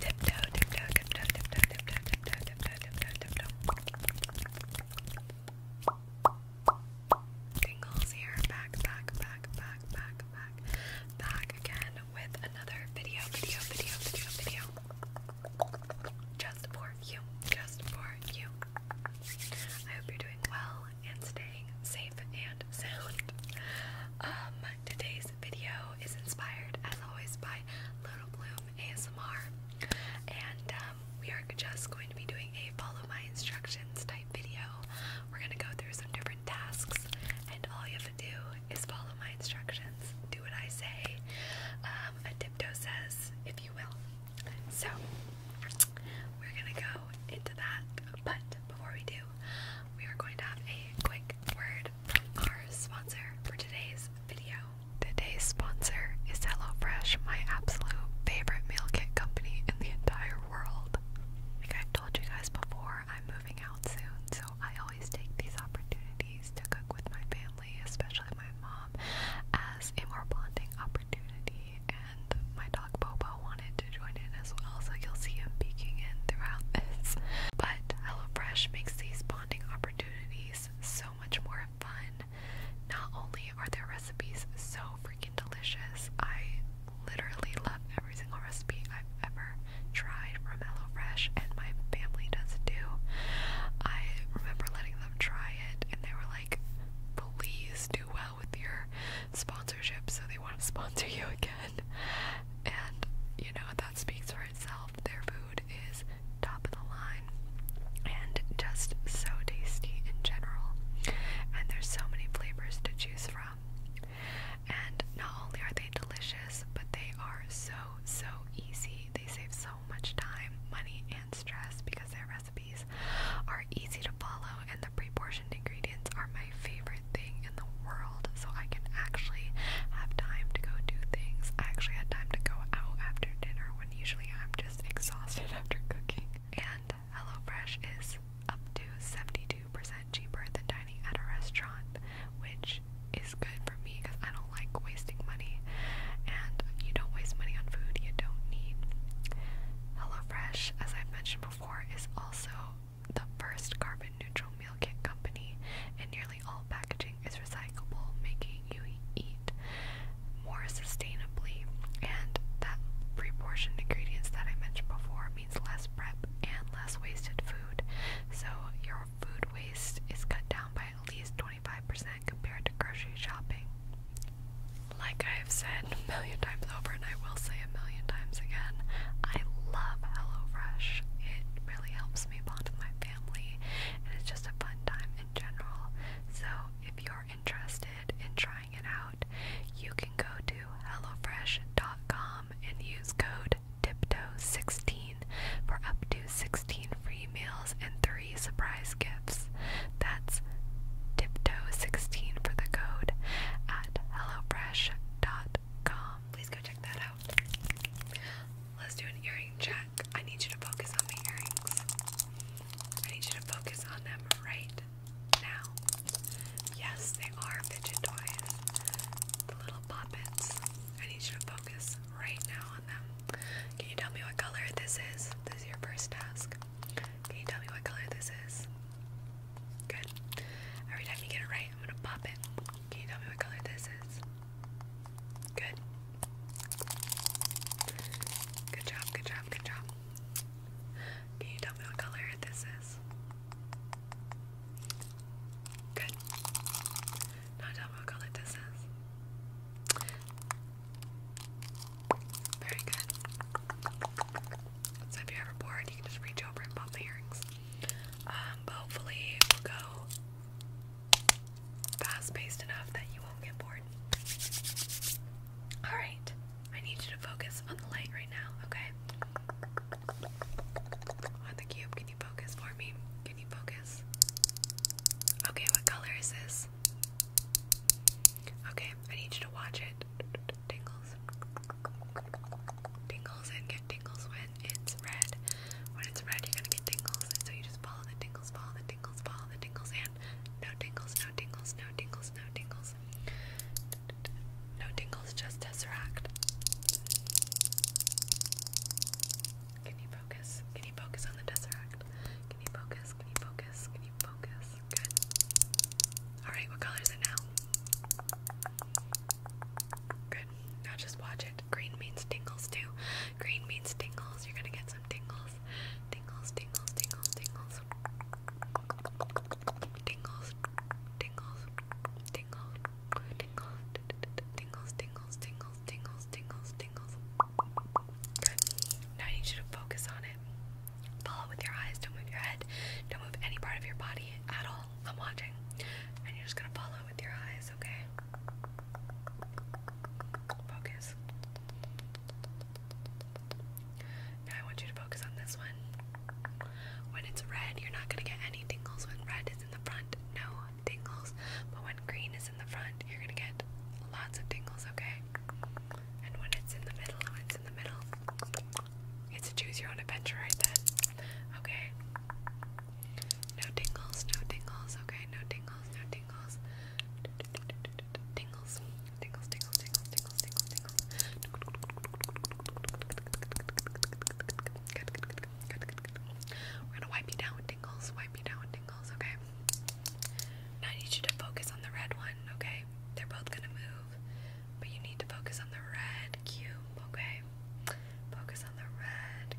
Tiptoe, here. Back, back, back, back, back, back, back again with another video, video, video, video, video. Just for you. Just for you. I hope you're doing well and staying safe and sound. Um, today's video is inspired, as always, by Little Bloom ASMR, and um, we are just going to be doing a follow my instructions type video. We're going to go through some different tasks, and all you have to do is follow my instructions, do what I say. Um, a tiptoe says, if you will. So, we're gonna go into that, but before we do, we are going to have a quick word from our sponsor for today's video. Today's sponsor is HelloFresh, my absolute favorite meal kit company in the entire world. Like I've told you guys before, I'm moving out soon, so I always take these opportunities to cook with my family, especially my mom, as a more bonding opportunity. And my dog Bobo wanted to join in as well, so you'll see him peeking in throughout this. But HelloFresh makes these bonding opportunities so much more fun. Not only are their recipes so freaking delicious, I literally love every single recipe I've ever tried from HelloFresh, and my family does too. I remember letting them try it, and they were like, please do well with your sponsorship, so they want to sponsor you again. And, you know, that speaks itself, their food is top of the line and just so tasty in general. And there's so many flavors to choose from. And not only are they delicious, but they are so, so easy. They save so much time, money, and stress because their recipes are easy to follow and the pre portioned ingredients are my favorite thing thing in the world so I can actually have time to go do things. I actually had time to go out after dinner when usually I'm just exhausted after cooking. And HelloFresh is up to 72% cheaper than dining at a restaurant, which is good for me because I don't like wasting money. And you don't waste money on food you don't need. HelloFresh, as I've mentioned before, is also the first carbon neutral meal kit company, and nearly all packaging is recyclable, making you eat more sustainably. And that pre ingredients that I mentioned before means less prep and less wasted food. So your food waste is cut down by at least 25% compared to grocery shopping. Like I have said a million times over, and I will say a million times again, I love HelloFresh. It really helps helps me bond with my family, and it's just a fun time in general. So, if you're interested in trying it out, you can go to HelloFresh.com and use code TIPTOE16 for up to 16 free meals and 3 surprise gifts. That's TIPTOE16 for the code at HelloFresh.com. Please go check that out. Let's do an earring check. I need you to focus on the earrings. I need you to focus on them right now. Yes, they are fidget toys. The little poppets. I need you to focus right now on them. Can you tell me what color this is? This is your first task. Can you tell me what color this is? Good. Every time you get it right, I'm gonna pop it. Can you tell me what color this is? Good. Good job, good job, good job. Can you tell me what color this is? Good. Now tell me what color this is. Very good. So if you're ever bored, you can just reach over and pop the earrings. Um, hopefully we'll go fast paced enough that you won't get bored. Alright, I need you to focus on the light right now, okay? On the cube, can you focus for me? Can you focus? Okay, what color is this? Okay, I need you to watch it. Tingles. Tingles and get tingles when it's red. When it's red, you're gonna get tingles, and so you just follow the tingles, follow the tingles, follow the tingles, and no tingles, no tingles, no tingles, no tingles. No tingles, just Tesseract. Can you focus? Can you focus on the Tesseract? Can you focus? Can you focus? Can you focus? Good. Alright, what color is it now? Good. Now just watch it. Green means tingles too. Green means tingles. You're gonna get some tingles. Tingles, tingles, tingles, tingles. Tingles, tingles, tingles, tingles, tingles, tingles, tingles, tingles, tingles, tingles. Now I need you to focus on it. Follow with your eyes. Don't move your head. Don't move any part of your body at all. I'm watching. And you're just gonna follow with your eyes okay? Focus. Now I want you to focus on this one. When it's red, you're not gonna get any tingles. When red is in the front, no tingles. But when green is in the front, you're gonna get lots of tingles, okay? And when it's in the middle, when it's in the middle, it's a choose your own adventure right then. Okay? No tingles, no tingles, okay, no tingles, no tingles. Tingles, tingles, tingles, tingles, tingles, tingles, tingles. Good, good, good, good, good, good. We're gonna wipe you down with tingles, wipe you down with tingles, okay? Now I need you to focus on the red one, okay? They're both gonna move, but you need to focus on the red cube, okay? Focus on the red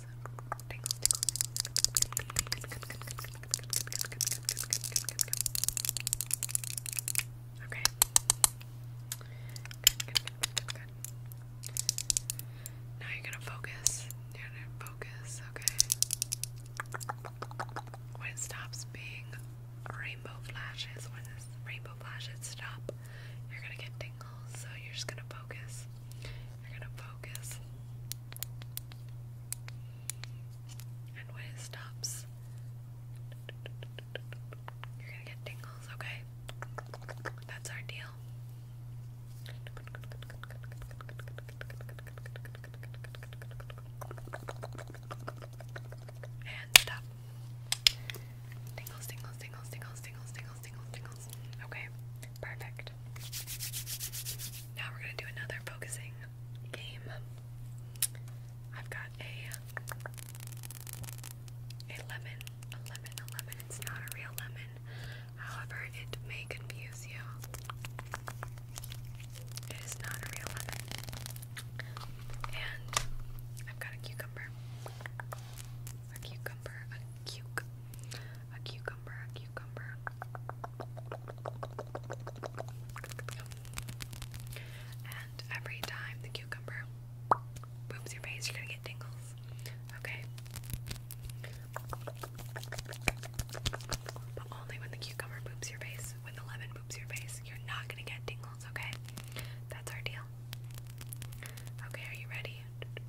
Okay. Now you're gonna focus. You're gonna focus, okay? When it stops being rainbow flashes, when the rainbow flashes stop, you're gonna get tingles. So you're just gonna focus. I gotta focus. And when it stops, you're gonna get tingles, okay? That's our deal. And stop. tingles, tingles, tingles, tingles, tingles, tingles, tingles, Okay, perfect. Now we're gonna do another focusing game. I've got a a lemon, a lemon, a lemon. It's not a real lemon. However, it may confuse you. It is not a real lemon. And I've got a cucumber. A cucumber, a cuke a cucumber, a cucumber. And every time the cucumber booms your face, you're gonna get tingles. Okay? But only when the cucumber boops your face, when the lemon boops your face, you're not gonna get tingles, okay? That's our deal. Okay, are you ready?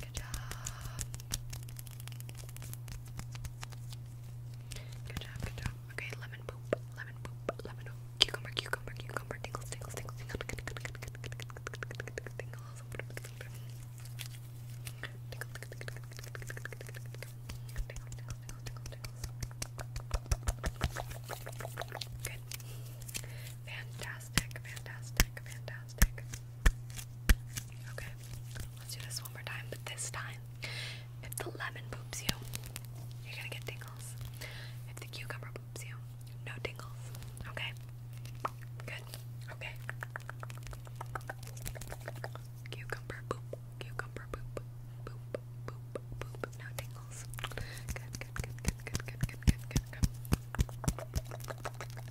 Good job. Good job, good job. Okay, lemon poop, lemon poop, lemon poop, cucumber, cucumber, cucumber, tingles, tingles, tingles, tingles, tingles, tingles, tingles, Fantastic, fantastic, fantastic. Okay, let's do this one more time, but this time, if the lemon poops you, you're gonna get tingles. If the cucumber poops you, no tingles. Okay? Good. Okay. Cucumber poop, cucumber poop, poop, poop, poop, no tingles. good, good, good, good, good, good, good, good, good.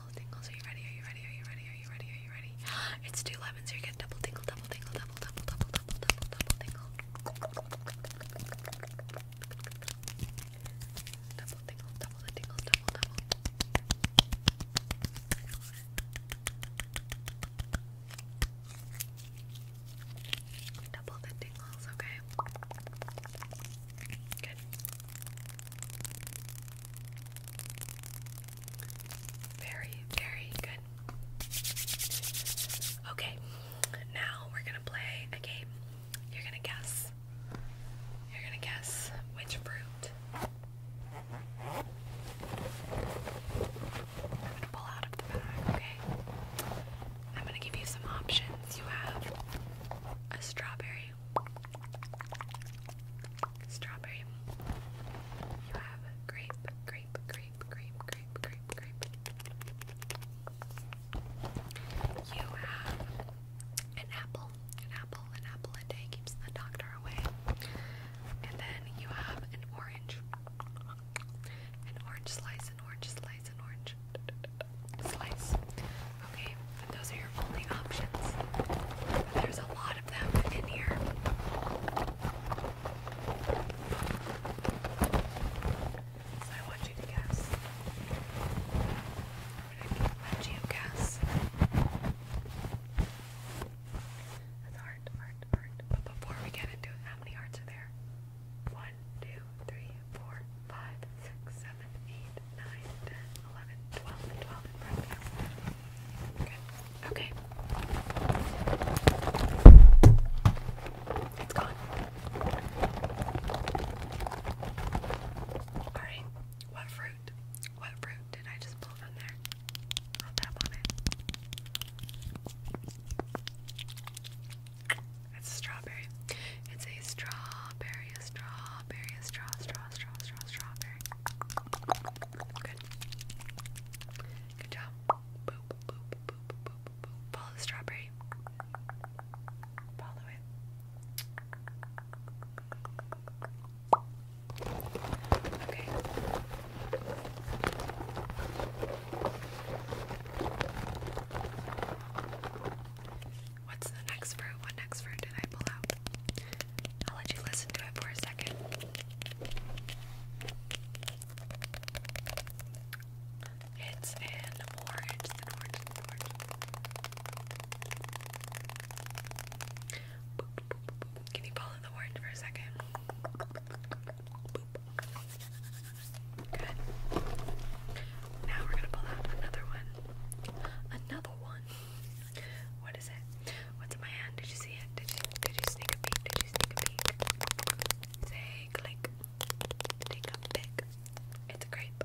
tingle, tingles. Are you ready? Are you ready? Are you ready? Are you ready? Are you ready? It's two lemons. So you get double tingle, double tingle, double, double, double, double, double, double tingle. Double tingle, double the tingles, double, double. Double the tingles, okay? Good. Very, very good. Okay, now we're gonna play a game. You're gonna guess. You're gonna guess which fruit. I'm gonna pull out of the bag, okay? I'm gonna give you some options. You have a strawberry, Strawberry. You have grape, grape, grape, grape, grape, grape, grape. You have an apple, an apple, an apple a day keeps the doctor away. And then you have an orange. An orange slice, an orange slice, an orange slice. Okay, and those are your only options. There's a lot of them in here. So I want you to guess. I'm gonna let you guess. That's hard, hard, hard. But before we get into it, how many hearts are there? One, two, three, four, five, six, seven, eight, 9, and 12 in Okay. It's gone. Alright. What fruit? What fruit did I just pull from there? I'll tap It's a strawberry. It's a strawberry a strawberry, a straw, straw, straw, straw, strawberry. Good. Good job. Boop, boop, boop, boop, boop, boop. Follow the strawberry. Follow it. Okay. What's the next fruit? What next fruit did I pull out? I'll let you listen to it for a second. It's an orange, an orange, an orange. Can you pull out the orange for a second? Good. Now we're gonna pull out another one. Another one. What is it? What's in my hand? Did you see it? Did you did you sneak a peek? Did you sneak a peek? Say click. Take a pick. It's a grape.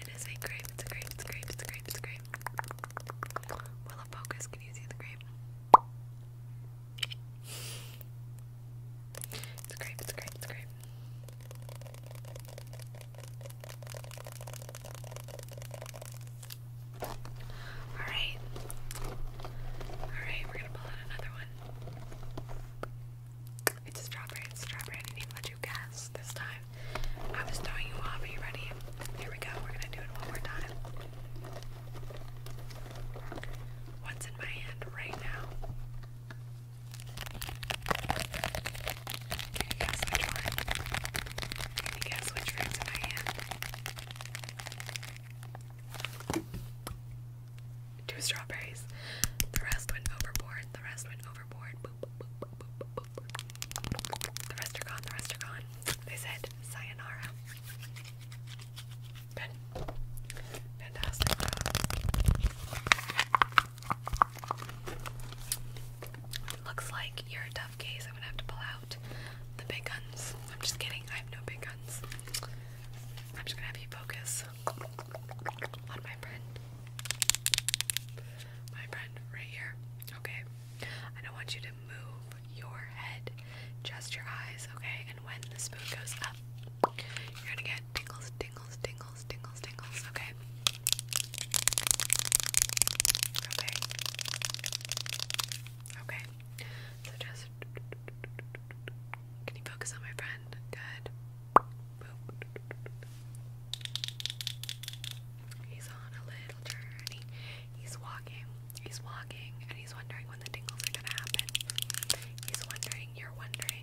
It is a grape. It's a grape. It's a grape. It's a grape. It's a grape. Will it focus? Can you see the grape? It's a grape. It's a grape. It's a grape. Alright. Alright, we're gonna pull out another one. It's a strawberry, it's strawberry. I didn't even let you guess this time. I was throwing you off. Are you ready? Here we go. We're gonna do it one more time. What's in my hand right now? Can you guess which one? Can guess which room's in my hand? Two strawberries. The rest went overboard. The rest went overboard. The rest are gone. The rest are gone. They said sayonara. Looks like you're a tough case. I'm gonna have to pull out the big guns. I'm just kidding. I have no big guns. I'm just gonna have you focus on my friend. My friend right here. Okay. I don't want you to move your head, just your eyes, okay? And when the spoon goes up, you're gonna get tingles, tingles, tingles, tingles, tingles, okay? Okay. Okay. So just can you focus on my friend? Good. He's on a little journey. He's walking. He's walking and he's wondering when the tingles are gonna happen. He's wondering, you're wondering.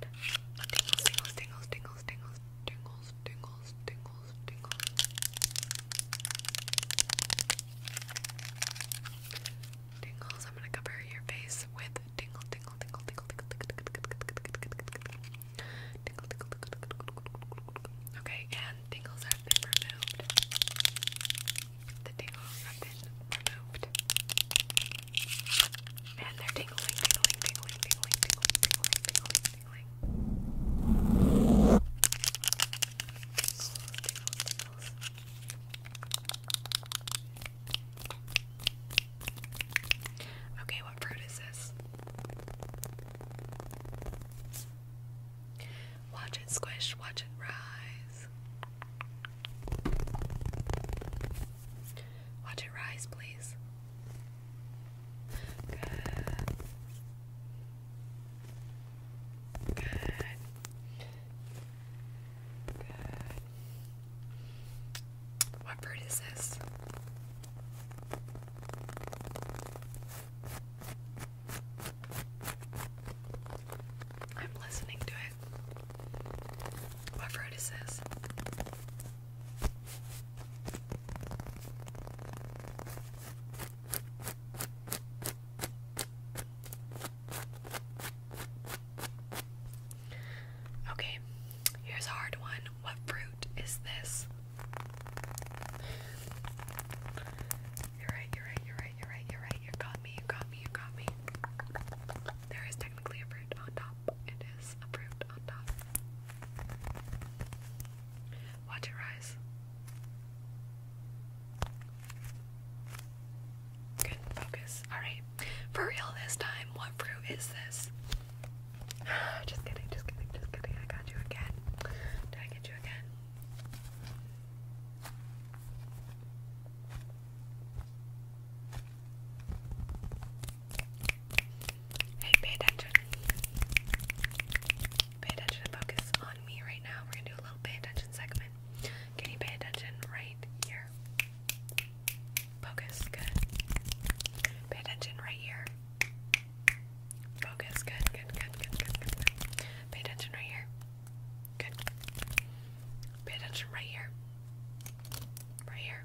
And tingles, tingles, tingles, tingles, tingles, tingles, tingles, tingles, tingles. Tingles. I'm gonna cover your face with tingle, tingle, tingle, tingle, tingle, tingle, tingle, tingle, tingle. Okay, and tingles have been removed. The tingles have been removed. And they're tingling, tingling, tingling, tingling, tingling, tingling, tingling. Okay, what fruit is this? Watch it squish, watch it rise. Watch it rise, please. Good. Good. Good. What bird is this? I'm listening to it. What fruit is this? Okay, here's a hard one. What fruit is this? You're right, you're right, you're right, you're right, you're right. You got me, you got me, you got me. There is technically a fruit on top top. It is approved on top. Watch it rise. Good focus. Alright. For real this time, what fruit is this? just kidding, just kidding, just kidding. I got you again. Did I get you again? Hey, pay attention. Pay attention and focus on me right now. We're gonna do a little pay attention segment. Can you pay attention right here? Focus, good. Pay attention right here. Focus, good, good, good, good, good, Pay attention right here. Good. Pay attention right here. Right here.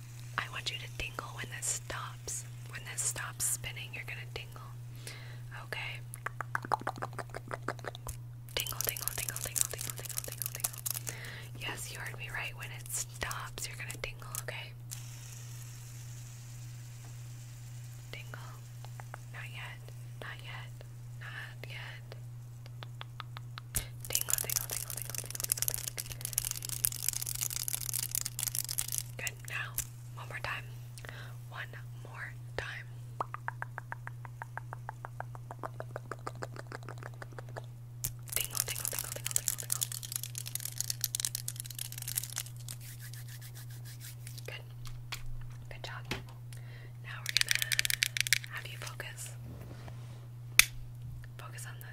I want you to tingle when this stops. When this stops spinning, you're gonna tingle. Okay. Tingle, tingle, tingle, tingle, tingle, tingle, tingle, tingle. Yes, you heard me right. When it stops, you're gonna tingle, okay? Tingle. Not yet. Not yet. Not yet. Tingle, tingle, tingle, tingle, tingle, tingle, tingle. Good. Now, one more time. One more time. Tingle, tingle, tingle, tingle, tingle, Good. Good job. Now we're gonna have you focus. Focus on the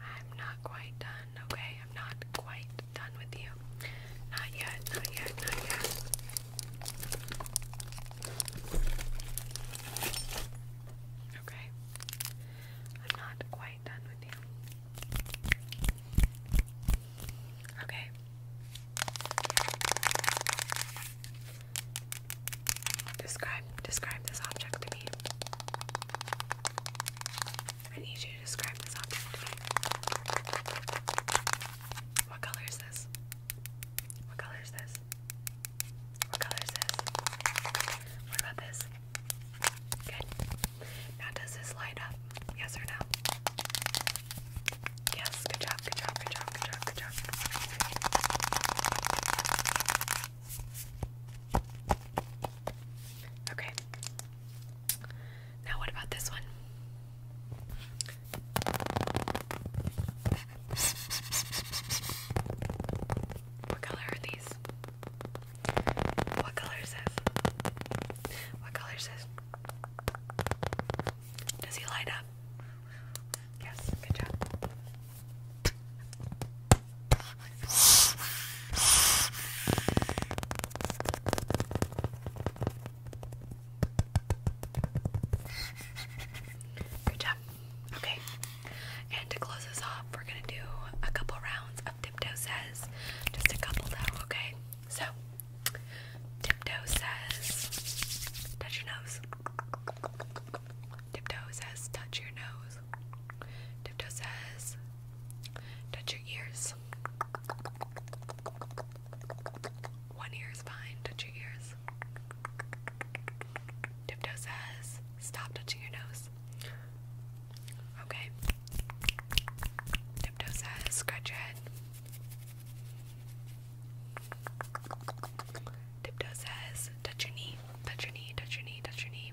I'm not quite done, okay? I'm not quite done with you. Not yet, not yet, not yet. Okay. I'm not quite done with you. Okay. Describe describe this object to me. I need you to describe this object to me. What color is this? What color is this? What color is this? What about this? Good. Now, does this light up? Yes or no? Yes, good job, good job, good job, good job, good job. Okay. Now, what about this one? What color are these? What color is this? What color is this? Does he light up? Yes, good job. Good job. Okay. And to close this off, we're gonna do a couple rounds of tiptoe says. Just a couple though, okay? So tiptoe says touch your nose. Tiptoe says touch your nose toes. says, touch your ears. One ear is fine, touch your ears. Tiptoe says, stop touching your nose. Okay. Tiptoe says, scratch your head. Tiptoe says, touch your knee, touch your knee, touch your knee, touch your knee.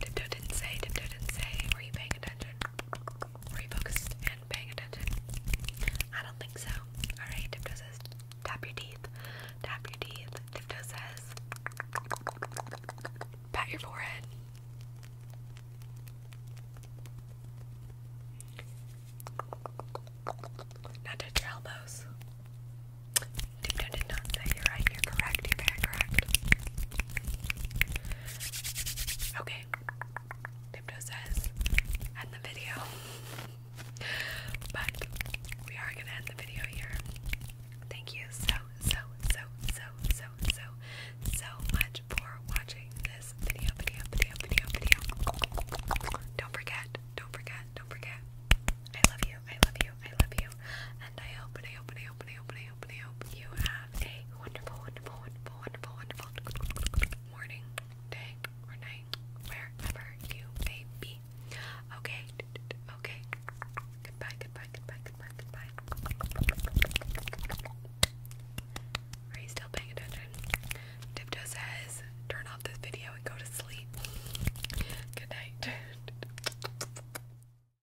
Tiptoe didn't say, Tiptoe didn't say. Were you paying attention? Were you focused and paying attention? I don't think so. Alright, Tiptoe says, tap your teeth. Tap your teeth. Tiptoe says, pat your forehead. Now your elbows. Tiptoe did not say, you're right, you're correct, you're very correct. Okay, Dipto says, end the video. But we are gonna end the video here. Thank you so, so, so, so, so, so, so much for watching this video, video, video, video, video. Don't forget, don't forget, don't forget. I love you, I love you, I love you. And I hope, and I hope, you have a wonderful, wonderful, wonderful, wonderful, wonderful morning, day, or night, wherever you may be. Okay, okay. Goodbye, goodbye, goodbye, goodbye, goodbye. Are you still paying attention? Tiptoe says, turn off this video and go to sleep. Good night.